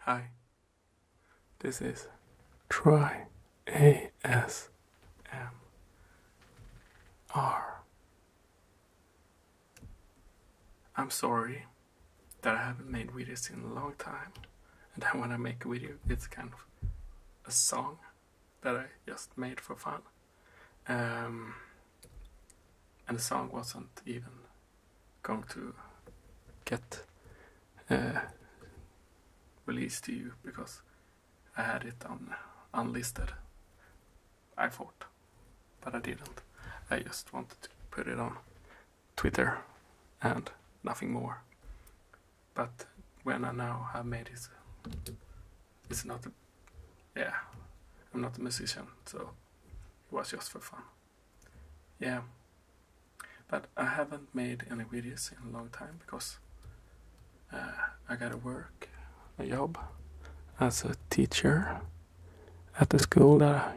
Hi, this is Try ASMR. I'm sorry that I haven't made videos in a long time, and I want to make a video. It's kind of a song that I just made for fun. Um, and the song wasn't even going to get released to you because I had it on unlisted. I thought, but I didn't. I just wanted to put it on Twitter and nothing more. But when I now have made it, it's not a, yeah, I'm not a musician, so it was just for fun. Yeah. But I haven't made any videos in a long time because uh, I gotta work a job as a teacher at the school that I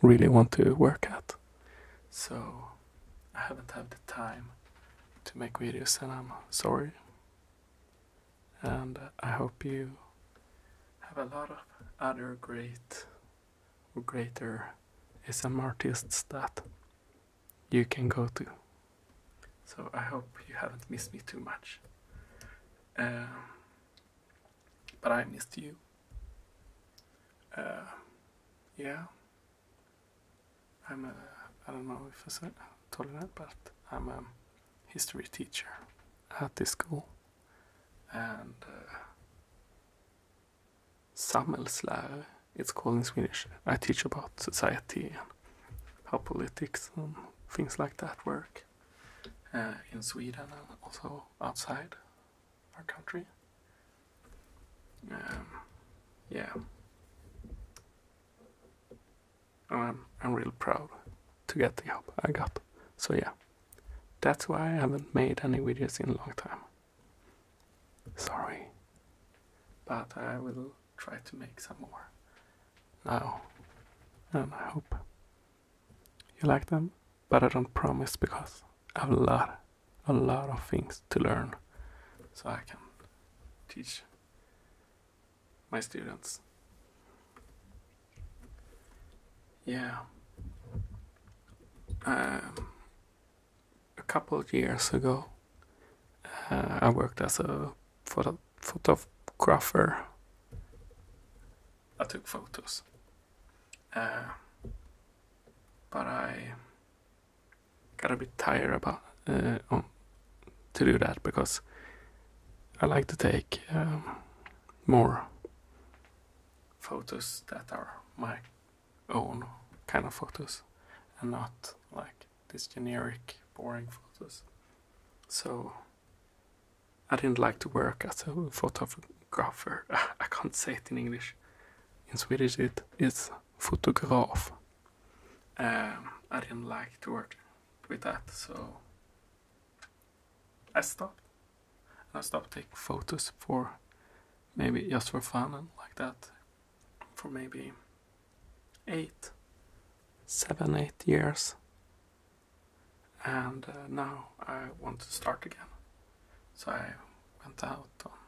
really want to work at. So I haven't had the time to make videos and I'm sorry and I hope you have a lot of other great or greater SM artists that you can go to. So I hope you haven't missed me too much. Um, but I missed you. Uh, yeah. I'm a, I don't know if I said told that, but I'm a history teacher at this school and uh, samhällslärare. It's called in Swedish. I teach about society and how politics and things like that work uh, in Sweden and also outside our country. Um, yeah. I'm, I'm real proud to get the help I got. So yeah, that's why I haven't made any videos in a long time. Sorry. But I will try to make some more now. And I hope you like them. But I don't promise because I have a lot, a lot of things to learn. So I can teach my students. Yeah. Um, a couple of years ago, uh, I worked as a photo photographer. I took photos. Uh, but I got a bit tired about uh, to do that because I like to take um, more photos that are my own kind of photos and not like these generic boring photos. So I didn't like to work as a photographer. I can't say it in English. In Swedish it is photograph. Um, I didn't like to work with that, so I stopped. And I stopped taking photos for maybe just for fun and like that for maybe eight, seven, eight years. And uh, now I want to start again. So I went out on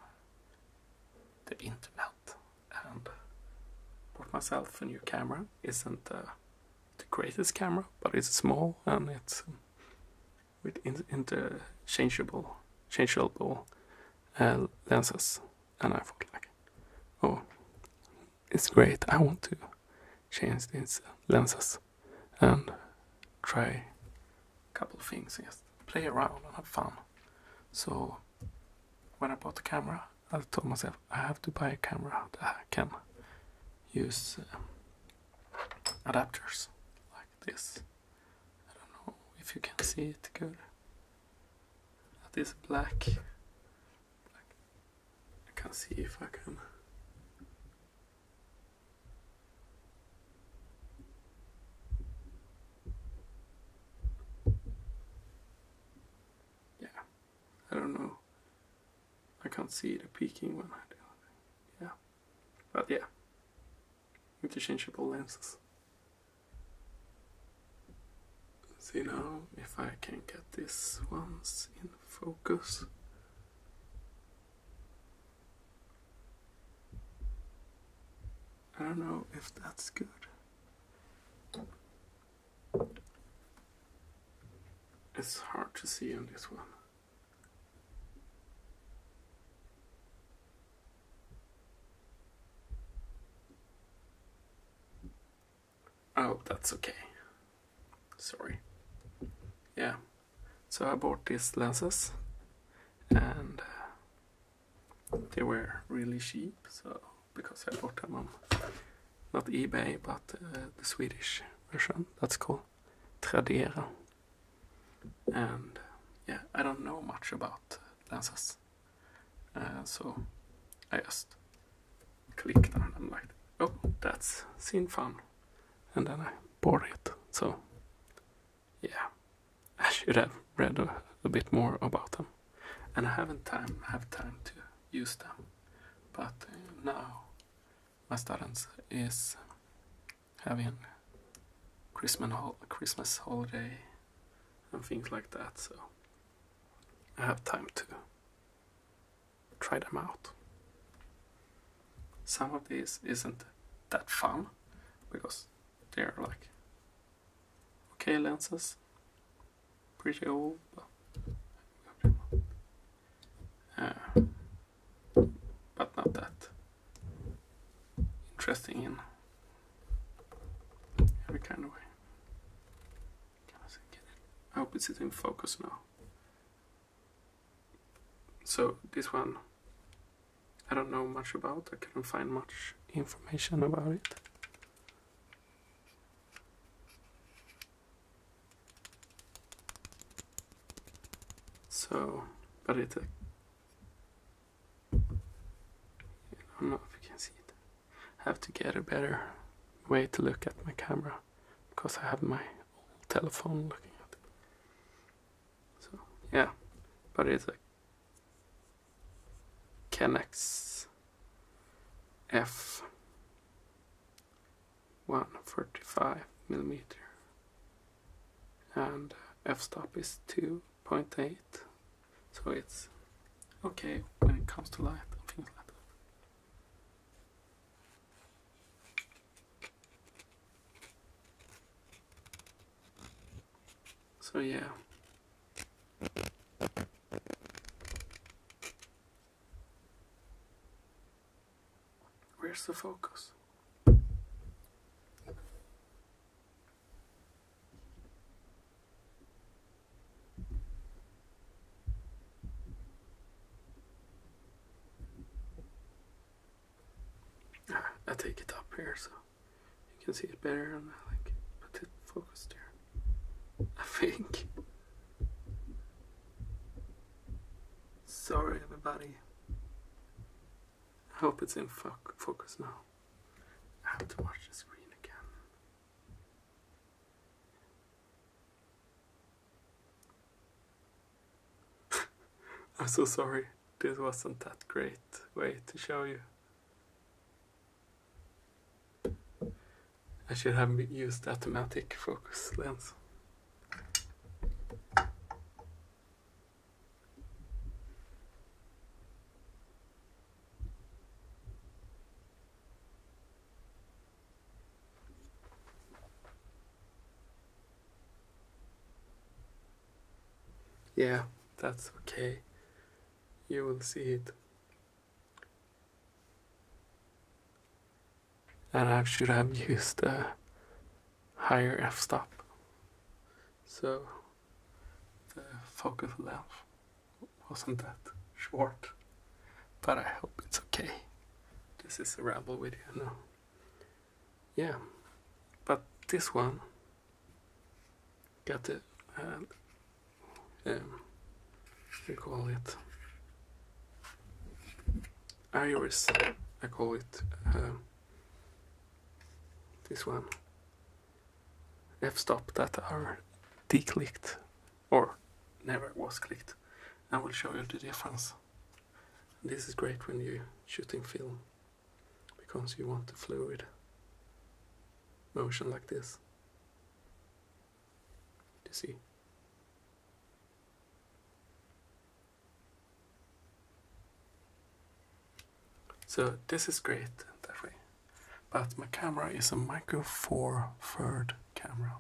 the internet and bought myself a new camera. Isn't uh, the greatest camera, but it's small and it's with interchangeable, changeable uh, lenses. And I thought like, oh, it's great. I want to change these lenses and try a couple things. Just play around and have fun. So when I bought the camera, I told myself I have to buy a camera that use um, adapters like this. I don't know if you can see it good. That is black. I can not see if I can. Yeah, I don't know I can't see the peaking one. Yeah. But yeah. Interchangeable lenses. See now if I can get this ones in focus. I don't know if that's good. It's hard to see on this one. Oh, that's okay. Sorry. Yeah. So I bought these lenses and uh, they were really cheap. So because I bought them on not eBay but uh, the Swedish version. That's cool. Tradera. And yeah, I don't know much about lenses. Uh, so I just clicked on them like, oh, that's seen fun. And then I bought it. So yeah, I should have read a, bit more about them. And I haven't time have time to use them. But uh, now my students is having Christmas holiday and things like that, so I have time to try them out. Some of these isn't that fun because they're like okay lenses, pretty old. Uh, but not that interesting in every kind of way. I hope it's in focus now. So this one, I don't know much about. I couldn't find much information about it. So, but it, I don't know if you can see it. I have to get a better way to look at my camera because I have my old telephone looking at it. So, yeah, but it's a Canex F one forty-five millimeter and uh, f-stop is 2.8 so it's okay when it comes to light so yeah Where's the focus? Right, ah, I take it up here so you can see it better and I like put it focused there. I think. Sorry, everybody. I hope it's in focus now. I have to watch the screen again. I'm so sorry. This wasn't that great way to show you. I should have used automatic focus lens. Yeah, that's okay. You will see it and I should have used a higher f-stop. So the focus length wasn't that short, but I hope it's okay. This is a rebel video now. Yeah, but this one got the um, um, call it I iris I call it um, this one f-stop that are clicked, or never was clicked I will show you the difference this is great when you're shooting film because you want the fluid motion like this you see so this is great that way. But my camera is a micro four third camera.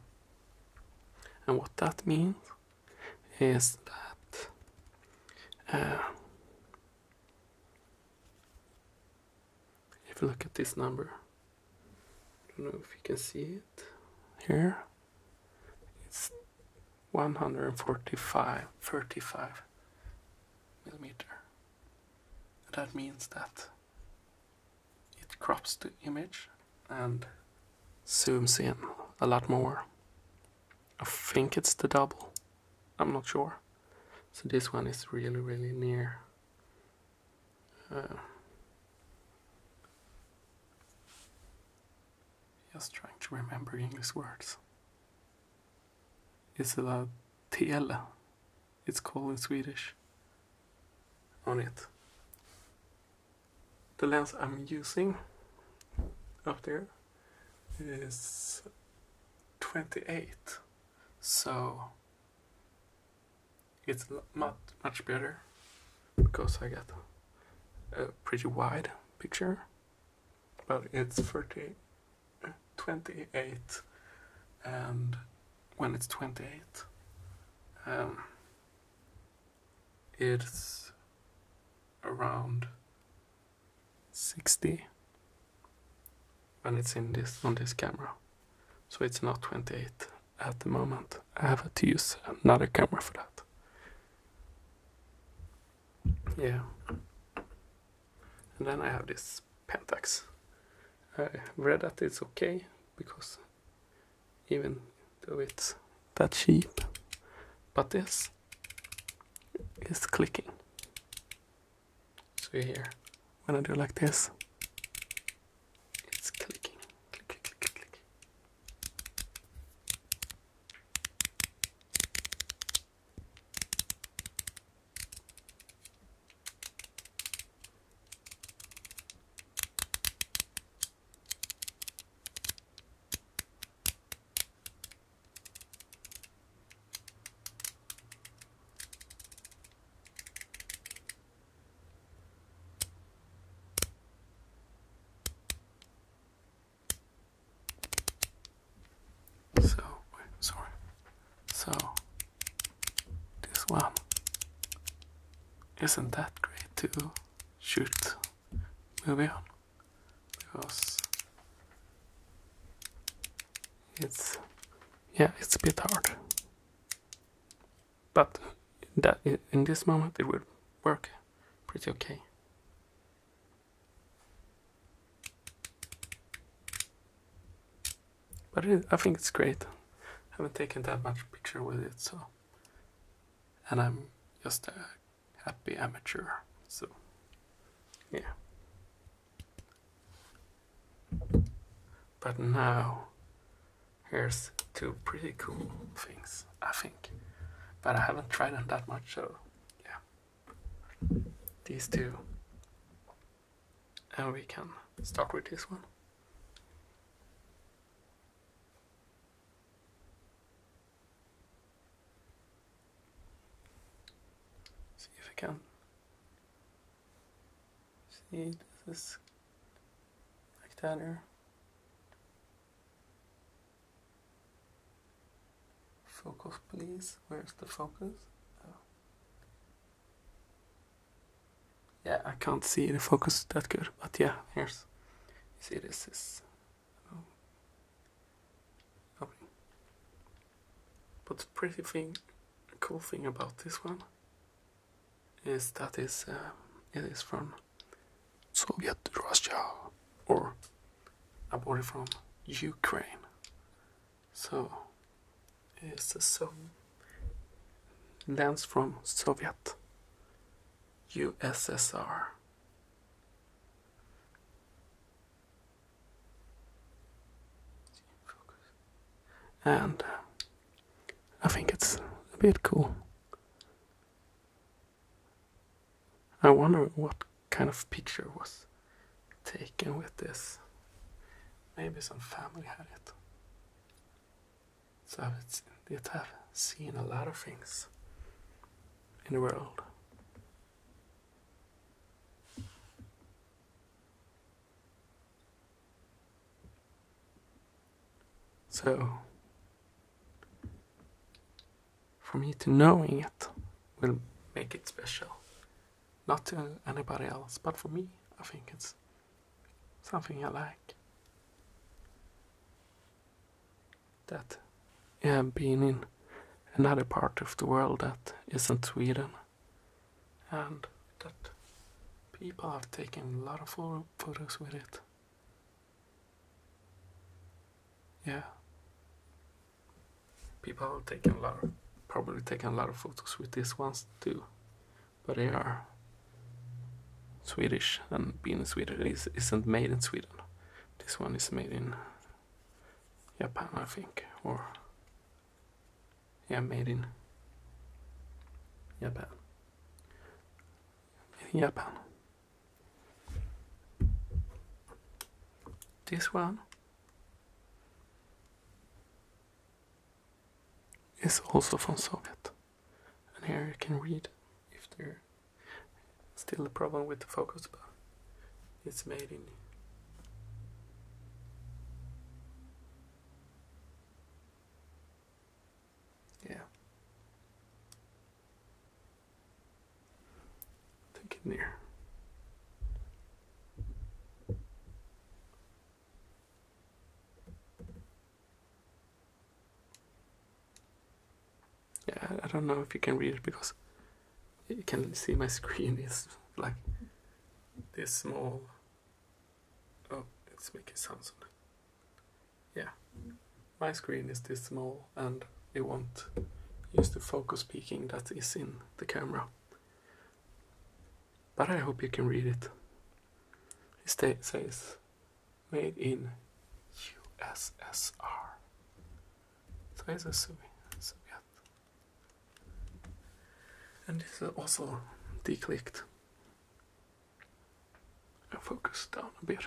And what that means is that uh, if you look at this number, I don't know if you can see it here, it's 145 35 millimeter. That means that it crops the image and zooms in a lot more. I think it's the double. I'm not sure. So this one is really, really near. Uh, just trying to remember English words. It's about tele. It's called in Swedish. On it. The lens I'm using up there is 28. So it's not much better because I get a pretty wide picture but it's 30 28 and when it's 28 um, it's around 60 when it's in this on this camera so it's not 28 at the moment. I have to use another camera for that. Yeah. And then I have this Pentax. I read that it's okay because even though it's that cheap, but this is clicking. So here, when I do like this, it's clicking. Click, click, click, click, click. So, sorry. So, this one isn't that great too. shoot movie on because it's yeah, it's a bit hard but that in this moment it will work pretty okay. But I think it's great. haven't taken that much picture with it, so. And I'm just a happy amateur, so. Yeah. But now Here's two pretty cool things, I think. But I haven't tried them that much, so yeah. These two. And we can start with this one. See if I can. See, this is like that here. Focus, please. Where's the focus? Oh. Yeah, I can't see the focus that good, but yeah, here's. You see, this is. Um, but pretty thing, cool thing about this one is that is uh, it is from Soviet Russia or I bought it from Ukraine. So it's a so lands from Soviet USSR. And uh, I think it's a bit cool. I wonder what kind of picture was taken with this. Maybe some family had it. So it's, have seen a lot of things in the world. So, for me to knowing it will make it special. Not to anybody else, but for me, I think it's something I like. That yeah, being in another part of the world that isn't Sweden, and that people are taking a lot of photos with it. Yeah. People have a lot of, probably taken a lot of photos with these ones too. But they are Swedish and being in Sweden is, not made in Sweden. This one is made in Japan, I think, or yeah, made in Japan. Japan. This one is also from Soviet. And here you can read if there's still a problem with the focus but it's made in yeah. Think in there. Yeah, I don't know if you can read it because you can see my screen is like this small. Oh, let's make it sound yeah, my screen is this small and it won't use the focus peaking that is in the camera. But I hope you can read it. It says, made in USSR. So it's a Soviet. And it's is also declicked. I focus down a bit.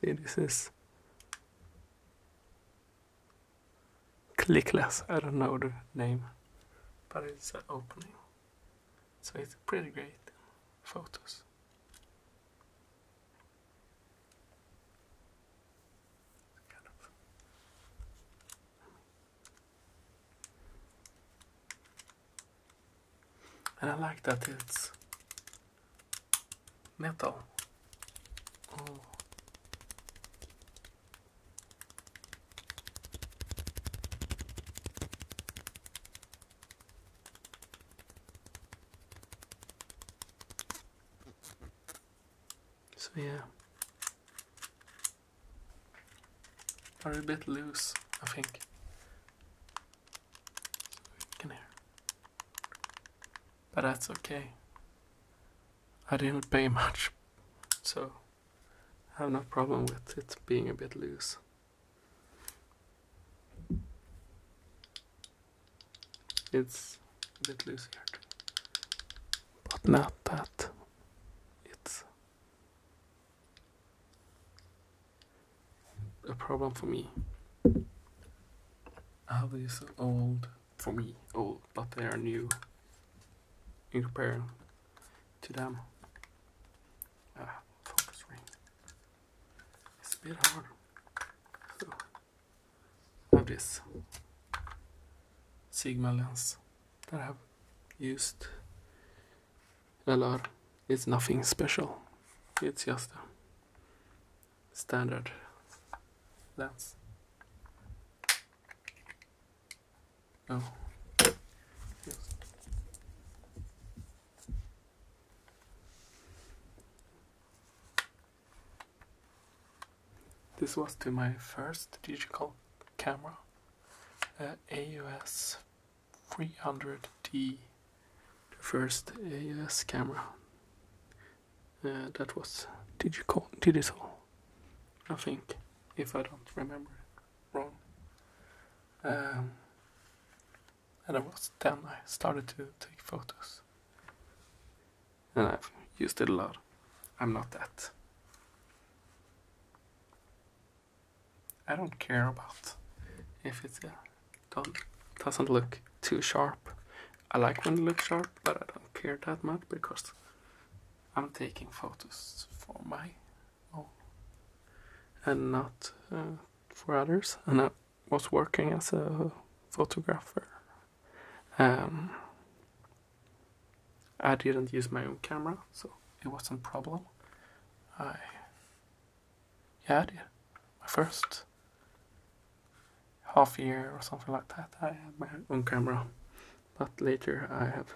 See, this is clickless. I don't know the name, but it's opening. So it's pretty great photos. And I like that it's metal. Oh. So yeah, are a bit loose, I think. Can hear, but that's okay. I didn't pay much, so I have no problem with it being a bit loose it's a bit loose here But not that it's a problem for me. I have these old, for me, old, but they are new in comparison to them. Ah, focus ring. It's a bit hard. I have this Sigma lens that I have used LR it's nothing special it's just a standard lens oh this was to my first digital camera, uh, AUS 300D, the first AUS camera uh, that was digital, digital, I think, if I don't remember wrong. Um, and I was then I started to take photos and I've used it a lot. I'm not that. I don't care about if it uh, doesn't look too sharp. I like when it looks sharp, but I don't care that much because I'm taking photos for my own and not uh, for others. And was working as a photographer. Um, I didn't use my own camera, so it wasn't a problem. I yeah, I did. My first half year or something like that, I had my own camera. But later I have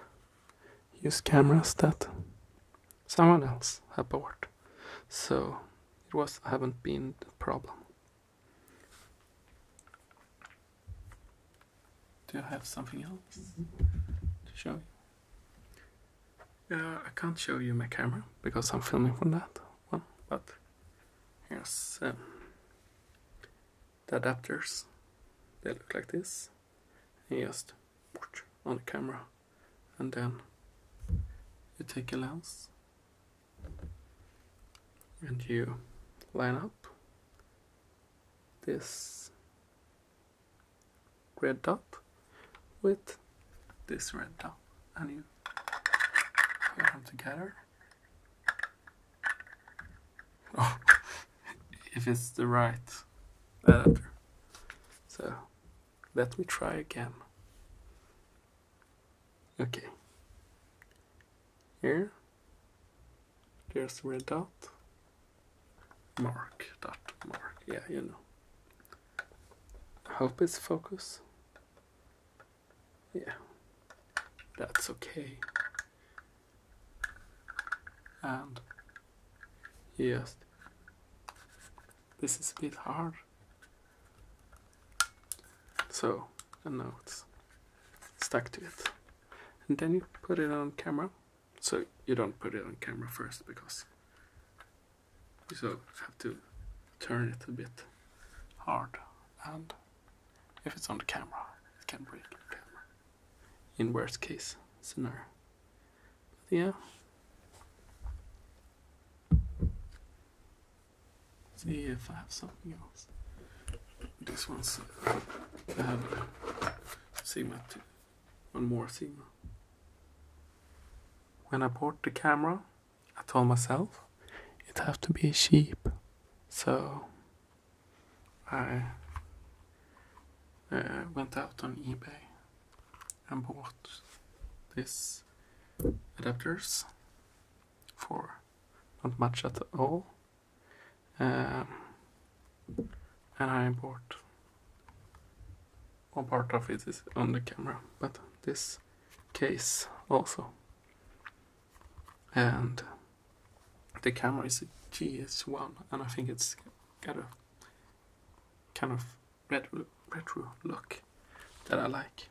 used cameras that someone else had bought. So it was haven't been problem. Do I have something else to show you? Uh, I can't show you my camera because I'm filming from that one, but yes, um, the adapters. They look like this. You just put on the camera and then you take a lens and you line up this red dot with this red dot and you put them together oh, if it's the right adapter so let me try again Okay. Here, here's red dot. Mark dot mark. Yeah, you know. hope it's focus. Yeah, that's okay. And yes, this is a bit hard. So and now it's stuck to it. And then you put it on camera. So you don't put it on camera first because you so have to turn it a bit hard. And if it's on the camera, it can break the camera. In worst case scenario. But yeah see if I have something else. This one's uh, um, I have Sigma 2, one more thing. When I bought the camera, I told myself it have to be cheap, so I uh, went out on eBay and bought this adapters for not much at all. and I bought one part of it is on the camera, but this case also. And the camera is a one and I think it's got a kind of retro, retro look that I like.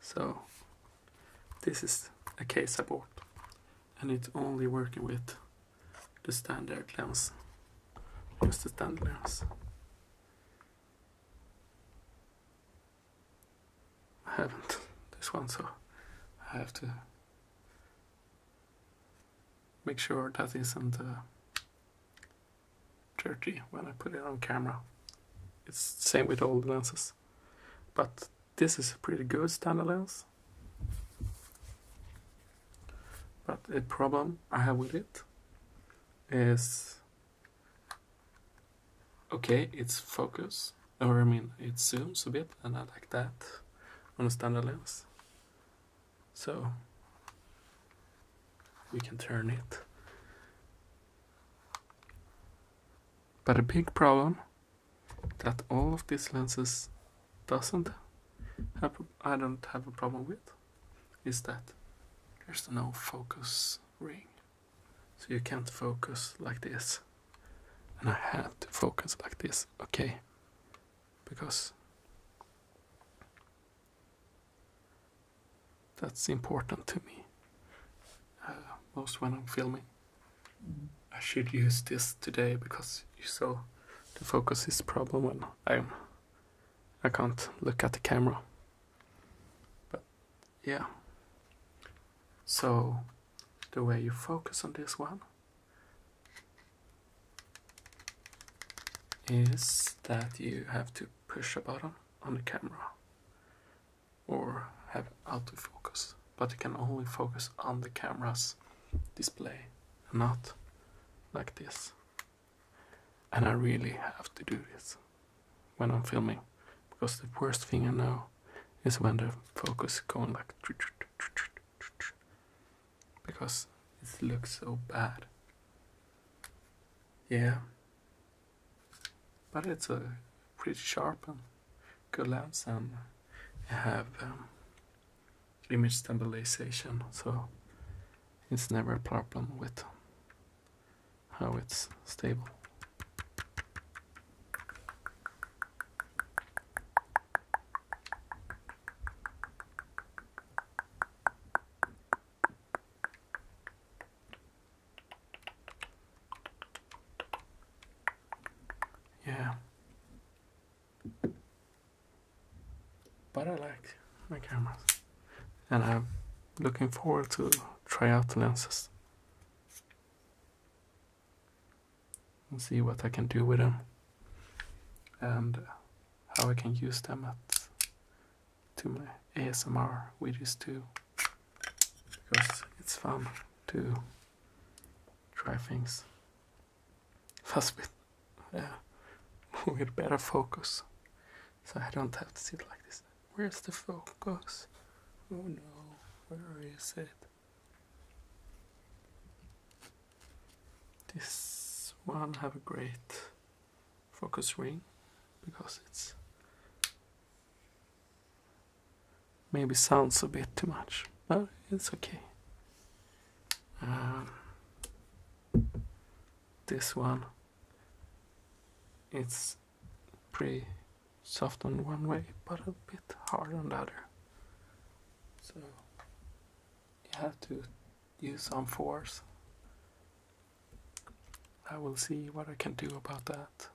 So this is a case I and it's only working with the standard lens, just the standard lens. I haven't this one so I have to make sure that isn't uh, dirty when I put it on camera. It's same with all the lenses. But this is pretty good standard lens. But a problem I have with it is okay, it's focus, or I mean, it zooms a bit, and I like that on a standard lens. So we can turn it. But a big problem that all of these lenses doesn't have, I don't have a problem with is that there's no focus ring. So you can't focus like this. And I had to focus like this, okay? Because that's important to me. Uh, most when I'm filming. I should use this today because you saw the focus is problem when I'm I can't look at the camera. But yeah. So the way you focus on this one is that you have to push a button on the camera or have autofocus, but it can only focus on the camera's display, not like this. And I really have to do this when I'm filming, because the worst thing I know is when the focus going like because it looks so bad. Yeah, but it's a pretty sharp and good lens and have um, image stabilization so it's never a problem with how it's stable yeah. But I like my cameras. And I'm looking forward to try out the lenses. And see what I can do with them. And how I can use them at to my ASMR which is too because it's fun to try things First, with we with better focus so I don't have to sit like this where's the focus oh no where is it this one have a great focus ring because it's Maybe sounds a bit too much, but it's okay. Um, this one, it's pretty soft on one way, but a bit hard on the other. So you have to use some force I will see what I can do about that.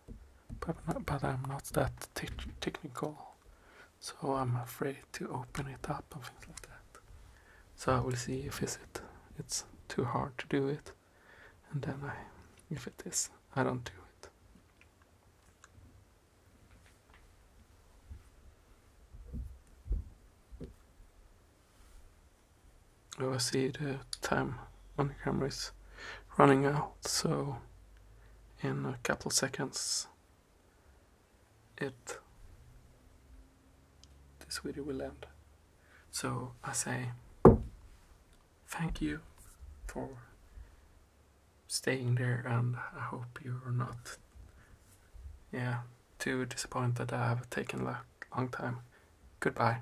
But, but I'm not that technical, so I'm afraid to open it up and things like that. So I will see if is it it's too hard to do it, and then I, if it is, I don't do it. I see the time on the camera is running out, so in a couple seconds it this video will end. So I say thank you for staying there and I hope you're not yeah too disappointed that I have taken a long time. Goodbye.